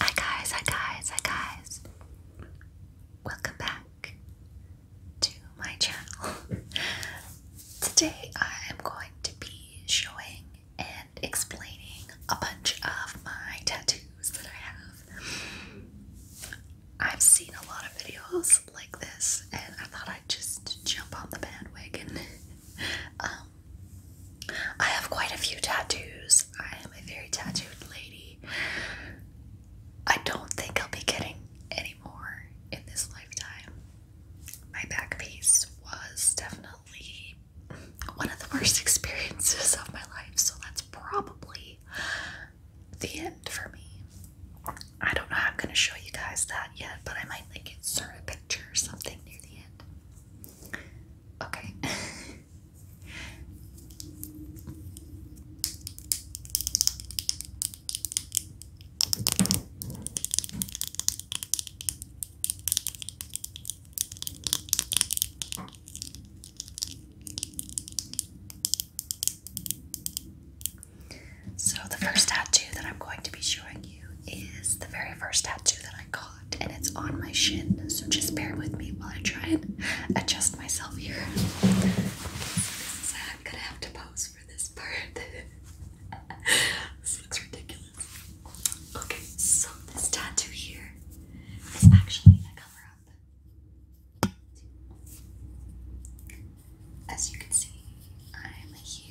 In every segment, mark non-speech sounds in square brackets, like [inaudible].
Hi guys, hi guys, hi guys. Welcome back to my channel. [laughs] Today I am going to be showing and explaining a bunch of my tattoos that I have. I've seen a lot of videos like this and I thought I'd just jump on the bandwagon. [laughs] Um, I have quite a few tattoos. I am a very tattooed lady. I don't think I'll be getting any more in this lifetime. My back piece was definitely one of the worst [laughs] experiences of my life, so that's probably the end for me. I don't know how I'm going to show you guys that yet, but I might like insert a picture or something Okay. [laughs] So, the first tattoo that I'm going to be showing you is the very first tattoo that I got, and it's on my shin. So just bear with me while I try and adjust myself here. [laughs] this I'm gonna have to pose for this part. [laughs] this looks ridiculous. Okay, so this tattoo here is actually a cover up. As you can see, I'm a huge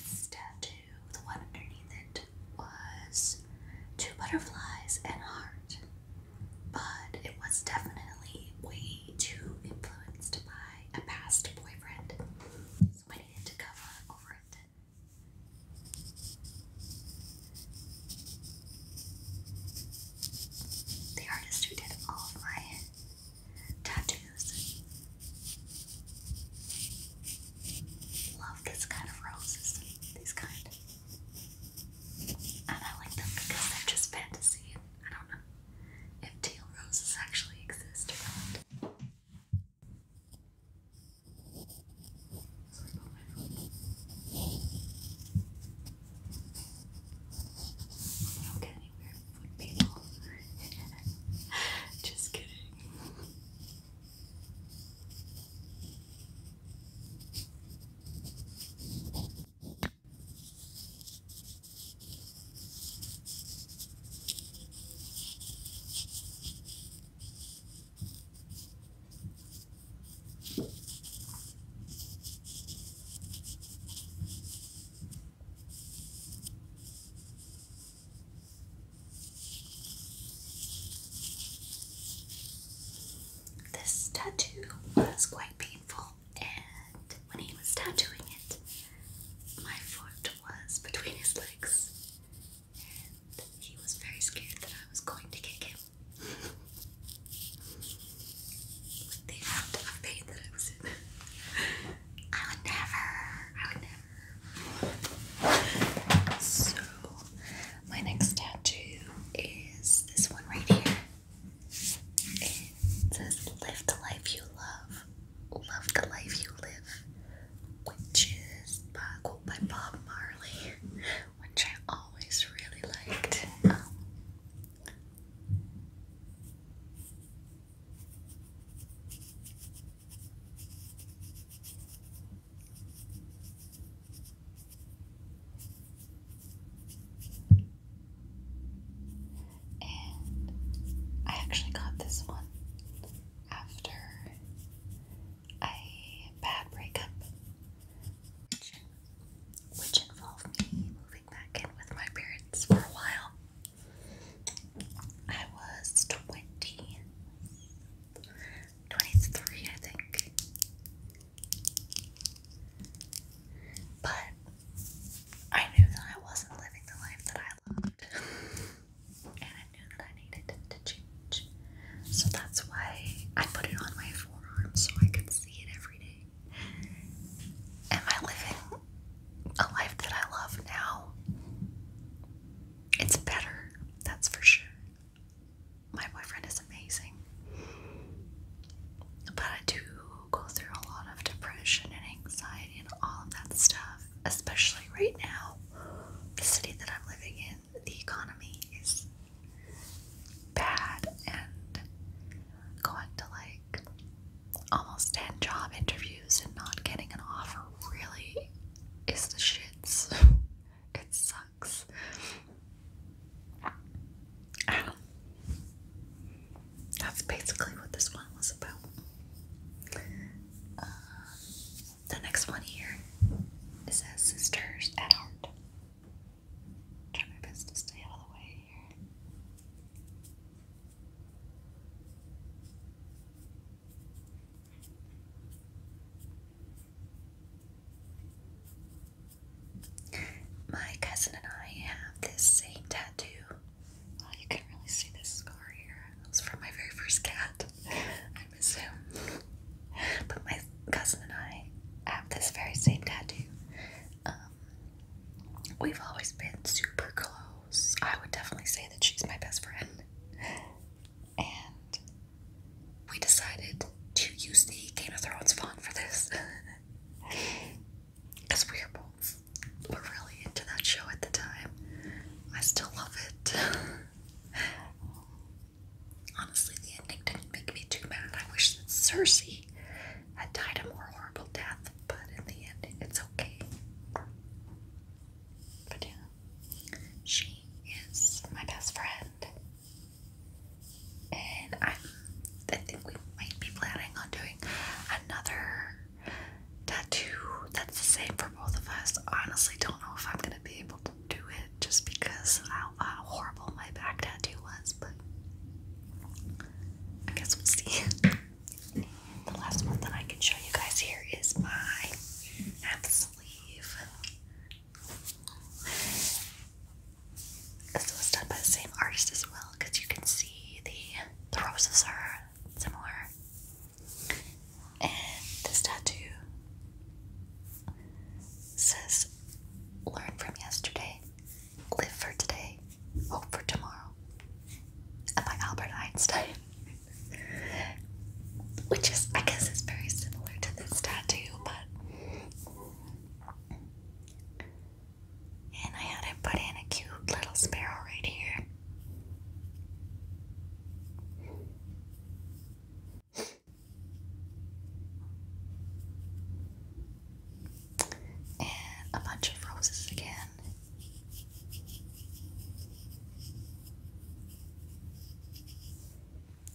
This tattoo, the one underneath it, was two butterflies and heart. But it was definitely way too influenced by a past boyfriend. So I needed to cover over it. The artist who did all of my tattoos. Love this kind of roses, these kind. And I like them because they're just fantasy. I don't know if teal roses actually exist or not. Just kidding. This tattoo was quite painful, and when he was tattooing it, my foot was between his legs, and he was very scared that I was going to kick him. [laughs] With the amount of pain that I was in. [laughs] I would never. I would never. So, my next tattoo is this one right here. It says, Live the life you love, love the life you live, which is by, by Bob Marley, which I always really liked. Um, and I actually got this one after a bad breakup, which involved me moving back in with my parents for a while. I was 20, I think. But I knew that I wasn't living the life that I loved. and I knew that I needed to change. So that's why I put it on my forearm so I could see it every day. And my living a life that I love now. It's better, that's for sure. My boyfriend is amazing. But I do go through a lot of depression and anxiety and all of that stuff, especially right now. The city that I'm living in, the economy is bad and going to like almost 10 job interviews and not getting an offer really is the shits. [laughs] it sucks. that's basically what this one was about. Uh, the next one here it Sisters at Heart. Try my best to stay out the way. My cousin and I have this same tattoo. you can really see this scar here. It from my very first cat, [laughs] I assume. But my cousin and I have this very same tattoo. Um, we've always been super close. I would definitely say that she's my best friend. And we decided to use the Game of Thrones font for this. Because [laughs] we were both were really into that show at the time. I still love it. [laughs] Honestly, the ending didn't make me too mad. I wish that Cersei had died a more horrible death, but in the end, it's okay. But yeah, she is my best friend, and i I think we might be planning on doing another tattoo that's the same for both of us. Honestly, don't know if I'm gonna be able to do it just because how horrible my back tattoo was, but I guess we'll see. [laughs] the last one that I can show you guys here is my half sleeve. This was done by the same artist as well because you can see the, the roses are similar. And this tattoo says, Learn from yesterday. Live for Today, Hope for Tomorrow, by Albert Einstein. [laughs] Which is, I guess, is very similar to this tattoo, but. And I had it put in a cute little sparrow right here and a bunch of roses again.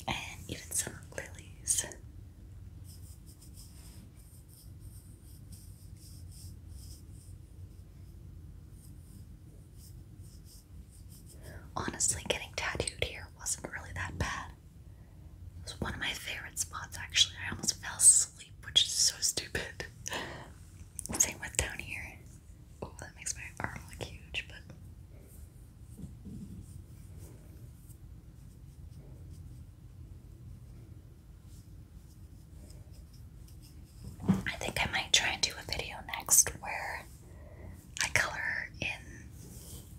And even some lilies. Honestly, getting tattooed here wasn't really that bad. It was one of my favorite spots, actually. I almost fell asleep sleep, which is so stupid. Same with down here. Oh, that makes my arm look huge, but. I think I might try and do a video next where I color in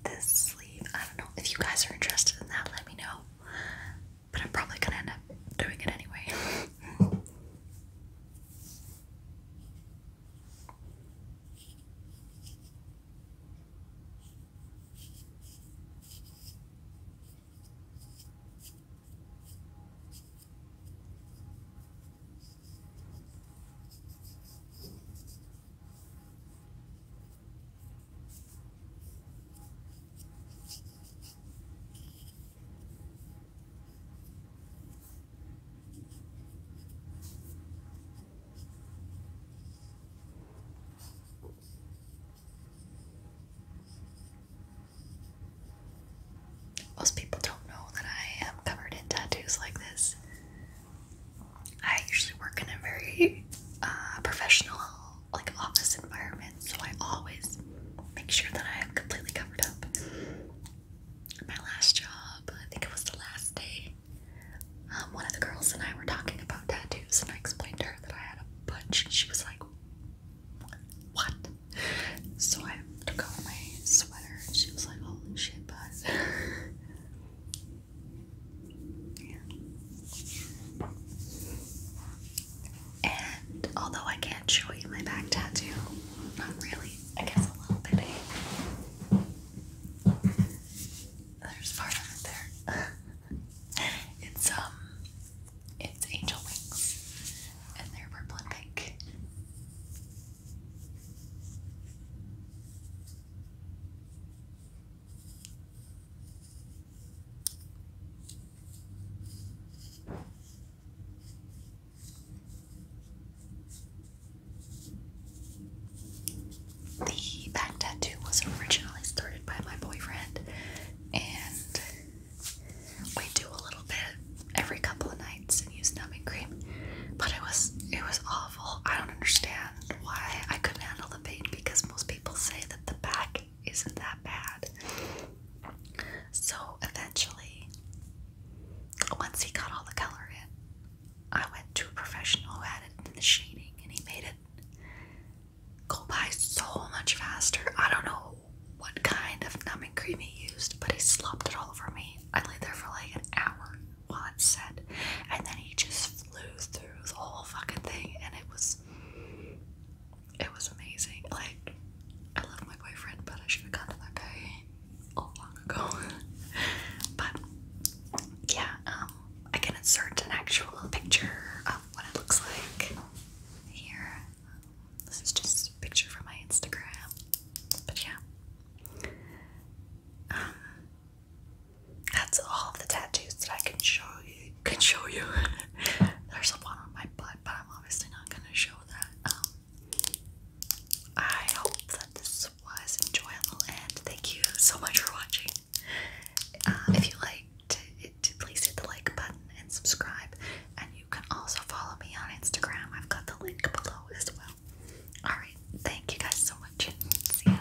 this sleeve. I don't know. If you guys are interested in that, let me know but I'm probably gonna end up doing it anyway. Most people don't know that I am covered in tattoos like this. I usually work in a very uh, professional like office environment, so I always make sure that I am completely covered up. My last job, I think it was the last day, um, one of the girls and I were talking about tattoos, and I explained to her that I had a bunch, she was like, What? So I took off my sweater, and she was like, Holy shit, bud. [laughs] And although I can't show you my back tattoo, not really, I guess a little bit. Eh? There's part of it there. [laughs] it's um it's angel wings and they're purple and pink. The back tattoo was originally started by my boyfriend, and we do a little bit every couple of nights and use numbing cream. But it was it was awful. I don't understand why I couldn't handle the pain because most people say that the back isn't that bad. So eventually, once he got all the color in, I went to a professional who added the shading and he made it go by so much faster. I don't know what kind of numbing cream he used, but he slopped it all over me. I lay there for like an hour while it set, and then he just flew through the whole fucking thing, and it was it was amazing. Like I love my boyfriend, but I should have gotten that guy all long ago. [laughs] but yeah, um, I can insert an actual picture of what it looks like here. this is just a picture from my Instagram. But yeah. Um, that's all the tattoos that I can show you. Can show you. [laughs] There's a one on my butt, but I'm obviously not gonna show that. Um, I hope that this was enjoyable, and thank you so much for watching. Um, if you like, please hit the like button and subscribe. And you can also follow me on Instagram. I've got the link below as well. Alright, thank you guys so much. See ya.